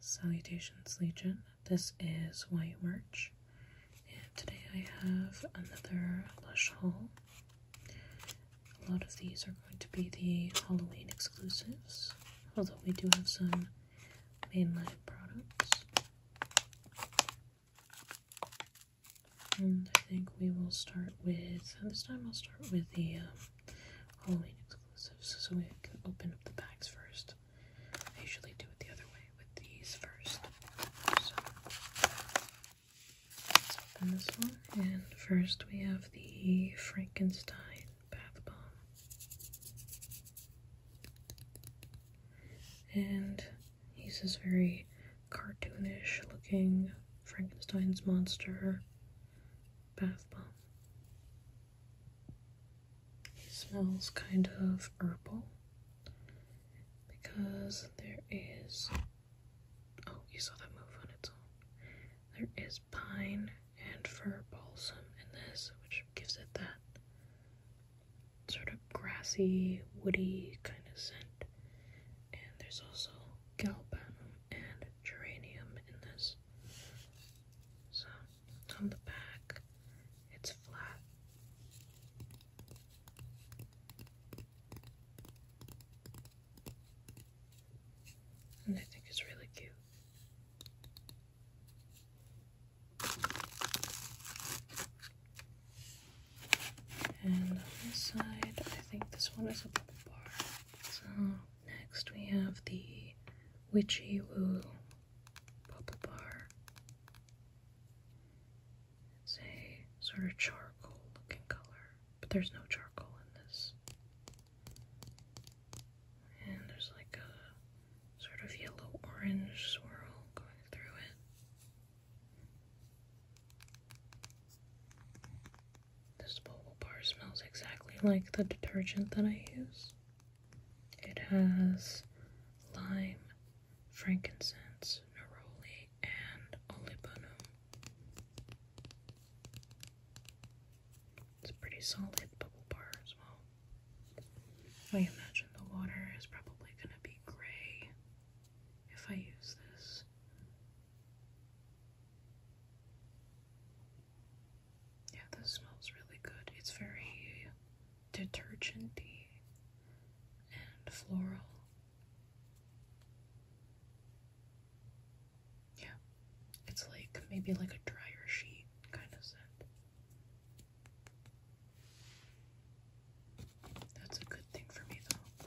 Salutations Legion, this is White March, and today I have another Lush haul. A lot of these are going to be the Halloween exclusives, although we do have some mainline products. And I think we will start with, this time I'll start with the um, Halloween exclusives, so we can open up the bags first. I usually do it the other way with these first. let's open this one. And first we have the Frankenstein bath bomb. And he's this very cartoonish looking Frankenstein's monster bath bomb. It smells kind of herbal because there is oh you saw that move on its own. There is pine and fir balsam in this, which gives it that sort of grassy, woody kind of scent. And there's also galbanum, and geranium in this. So on the back, it's flat. And I think it's really cute. And on this side, I think this one is a bubble bar. So Next we have the Witchy Woo Bubble Bar. It's a sort of charcoal looking color, but there's no charcoal in this. And there's like a sort of yellow orange swirl going through it. This bubble bar smells exactly like the detergent that I use. It has lime, frankincense, neroli, and olibanum. It's a pretty solid bubble bar as well. I imagine the water is probably going to be gray if I use this. Yeah, this smells really good. It's very detergenty and floral. Yeah, it's like maybe like a dryer sheet kind of scent. That's a good thing for me, though.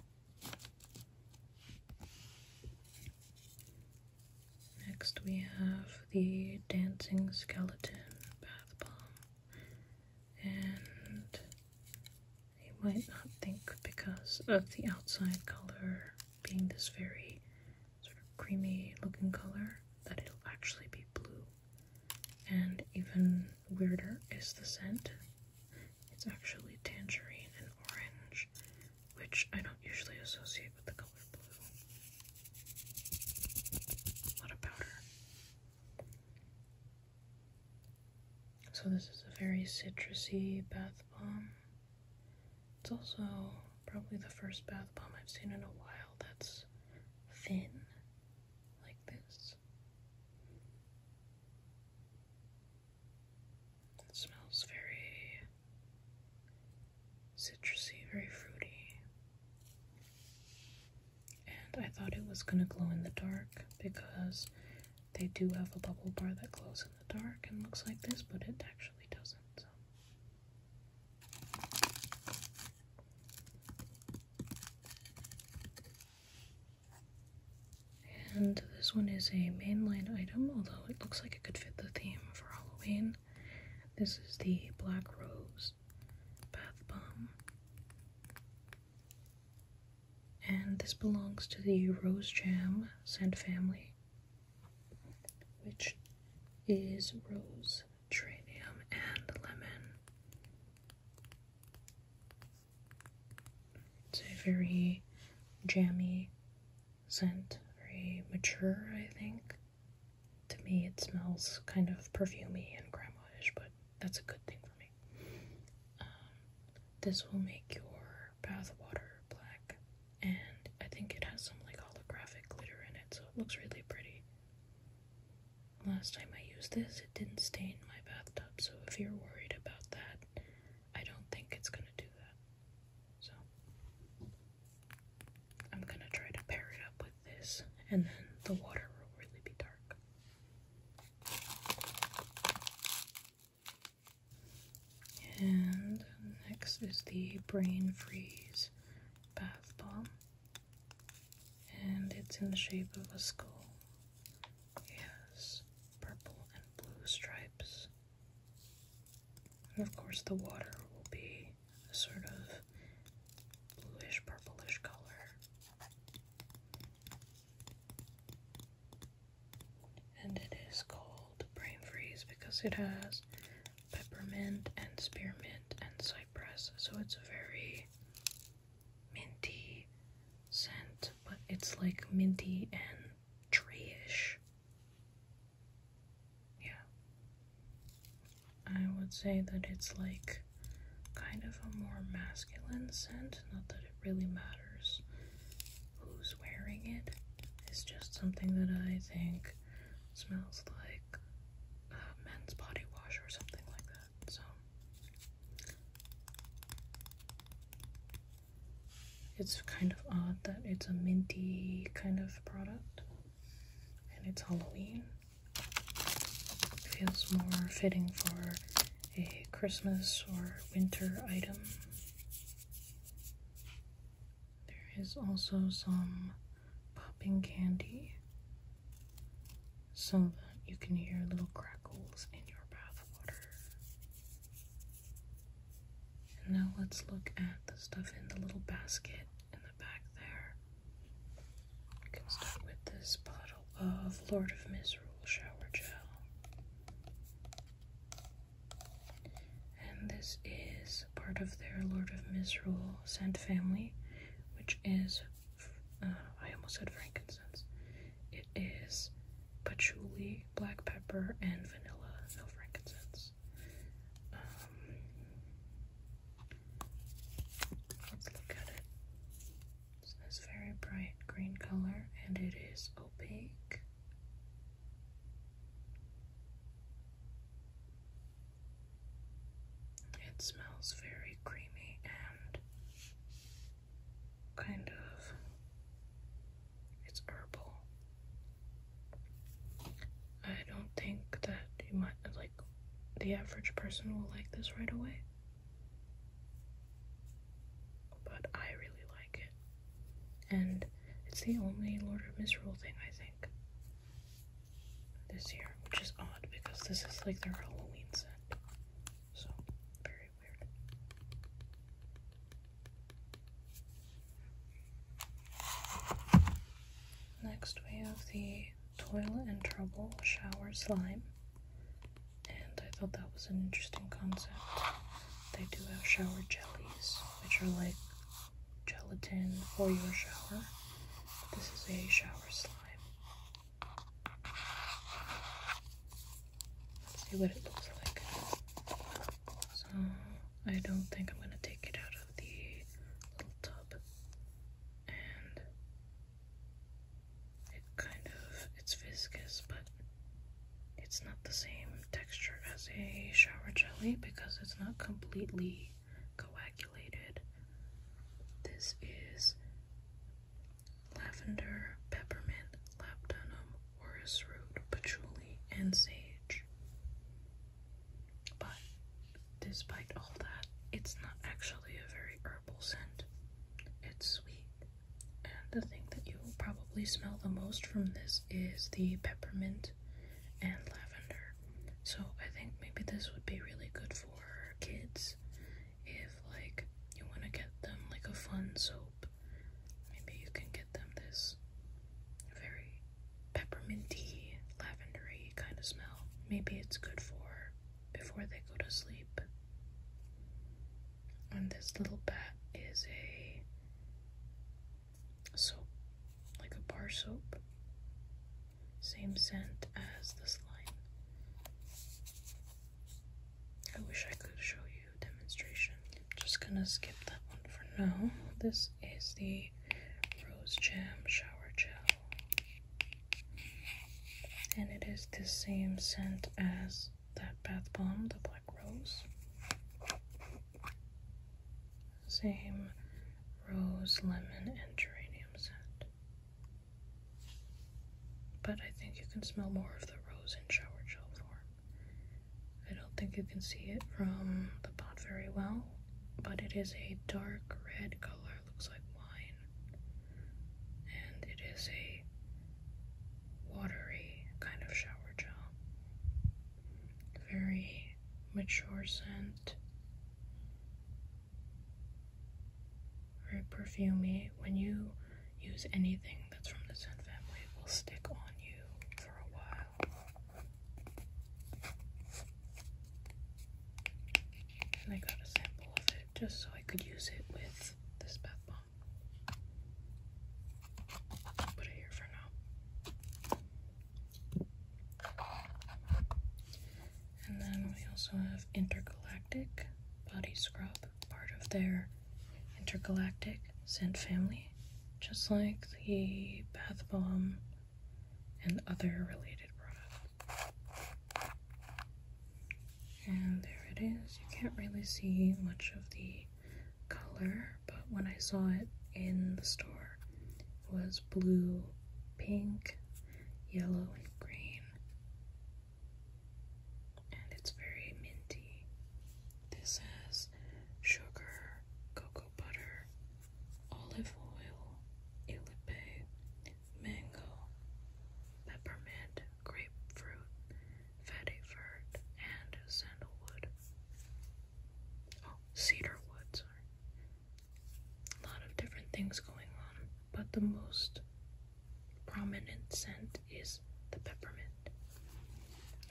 Next, we have the Dancing Skeleton Bath Bomb, and you might not think because of the outside color being this very sort of creamy looking color that it'll actually be blue. And even weirder is the scent. It's actually tangerine and orange, which I don't usually associate with the color blue. What a powder. So, this is a very citrusy bath bomb. It's also probably the first bath bomb I've seen in a while that's thin, like this. It smells very citrusy, very fruity. And I thought it was gonna glow in the dark because they do have a bubble bar that glows in the dark and looks like this, but it actually doesn't. And this one is a mainline item, although it looks like it could fit the theme for Halloween. This is the Black Rose Bath Bomb. And this belongs to the Rose Jam scent family, which is rose, geranium, and lemon. It's a very jammy scent, very mature, I think. To me, it smells kind of perfumey and grandma but that's a good thing for me. Um, this will make your bath water black, and I think it has some like holographic glitter in it, so it looks really pretty. Last time I used this, it didn't stain my bathtub, so if you're worried about that, I don't think it's gonna do that. So I'm gonna try to pair it up with this, and then the water will really be dark. And next is the Brain Freeze Bath Bomb, and it's in the shape of a skull. Yes, purple and blue stripes. And of course, the water will be a sort of bluish purplish color. And it is called Brain Freeze because it has peppermint and spearmint and cypress, so it's very minty scent, but it's like minty and tree-ish. Yeah. I would say that it's like kind of a more masculine scent, not that it really matters who's wearing it. It's just something that I think smells like a men's body wash or something like that. So it's kind of odd that it's a minty kind of product and it's Halloween. feels more fitting for a Christmas or winter item. There is also some popping candy so that you can hear little crackles in your bath water. And now let's look at the stuff in the little basket in the back there. We can start with this bottle of Lord of Misrule shower gel. And this is part of their Lord of Misrule scent family, which is uh, I almost said frankincense. It is patchouli, black pepper, and vanilla. No frankincense. Um, let's look at it. It's this very bright green color, and it is opaque. It smells very creamy and kind of it's herbal. I don't think that you might like the average person will like this right away. But I really like it. And it's the only Lord of Misrule thing I think this year, which is odd because this is like their Halloween set. So, very weird. Next, we have the Toilet and Trouble Shower Slime. And I thought that was an interesting concept. They do have shower jellies, which are like gelatin for your shower. This is a shower slime. Let's see what it looks like. So, I don't think I'm gonna take it out of the little tub. And it kind of, it's viscous, but it's not the same texture as a shower jelly because it's not completely coagulated. This is lavender, peppermint, labdanum, orris root, patchouli, and sage. But despite all that, it's not actually a very herbal scent. It's sweet. And the thing that you will probably smell the most from this is the peppermint and lavender. So I think maybe this would be really good for for kids if like you want to get them like a fun soap maybe you can get them this very pepperminty lavendery kind of smell maybe it's good for before they go to sleep and this little bat is a soap like a bar soap same scent as the slime. I wish I could show you a demonstration. I'm just gonna skip that one for now. This is the Rose Jam Shower Gel. And it is the same scent as that bath bomb, the black rose. Same rose, lemon, and geranium scent. But I think you can smell more of the rose in shower gel form. I don't think you can see it from the pot very well, but it is a dark red color, looks like wine. And it is a watery kind of shower gel. Very mature scent. Very perfumey. When you use anything that's from the scent family, it will stick on you for a while. And I got a sample of it just so I could use it with this bath bomb. Put it here for now. And then we also have Intergalactic Body Scrub, part of their Intergalactic scent family, just like the bath bomb and other related products. And there it is. You can't really see much of the color, but when I saw it in the store, it was blue pink, yellow, and green. And it's very minty. This has sugar, cocoa butter, olive oil, ilipe, mango, peppermint, grapefruit, fatty vert, and sandalwood. Oh, cedar woods. sorry. A lot of different things going on, but the most prominent scent is the peppermint.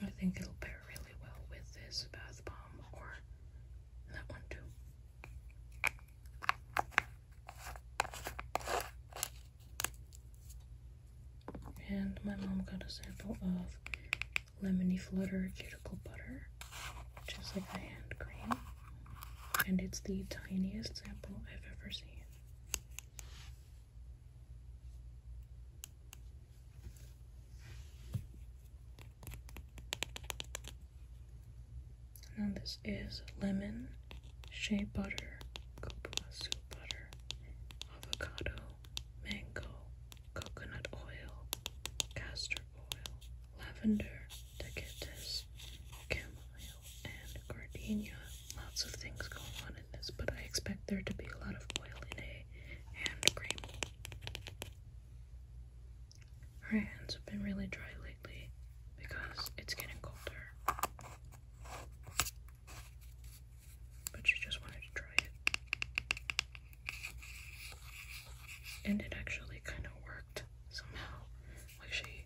I think it'll pair really well with this bath bomb or that one too. And my mom got a sample of lemony flutter cuticle butter, which is like a hand cream, and it's the tiniest sample I've ever seen. Now this is lemon, shea butter, kopuasu butter, avocado, mango, coconut oil, castor oil, lavender, decatus, chamomile, and gardenia. Lots of things going on in this, but I expect there to be a lot of oil in a hand cream. Her hands have been really dry lately because it's getting colder. But she just wanted to try it and it actually kind of worked somehow. Like she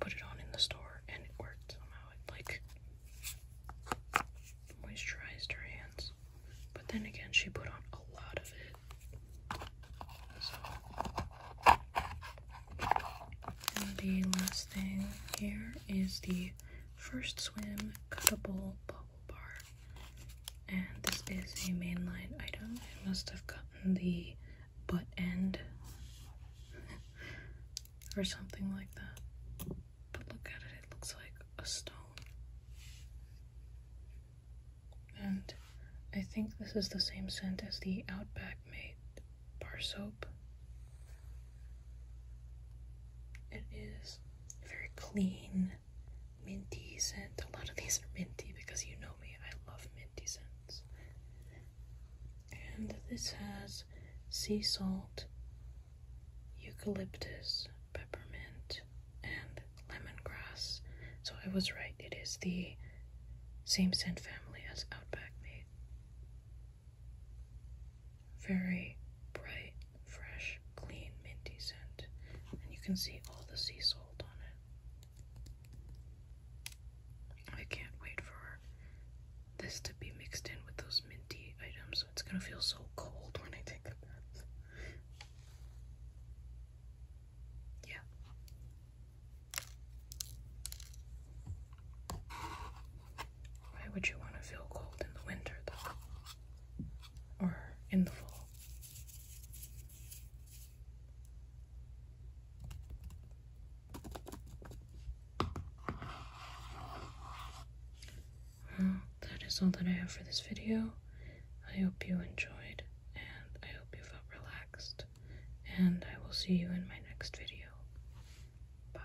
put it on in the store and it worked somehow. It like moisturized her hands. But then again, she put on a lot of it. And the last thing here is the First Swim Cuttable Book bar. And this is a mainline item. It must have gotten the butt end or something like that. But look at it, it looks like a stone. And I think this is the same scent as the Outback made bar soap. It is very clean minty scent. A lot of these are minty because you know me, I love minty scents. And this has sea salt, eucalyptus, peppermint, and lemongrass. So I was right, it is the same scent family as Outback Mate. Very bright fresh, clean, minty scent. And you can see all the sea salt on it. I can't wait for this to be mixed in with those minty items. It's gonna feel so cold when I take a bath. Yeah. Why would you want to feel cold in the winter, though? or in the fall. Well, that is all that I have for this video. I hope you enjoyed and I hope you felt relaxed and I will see you in my next video. Bye.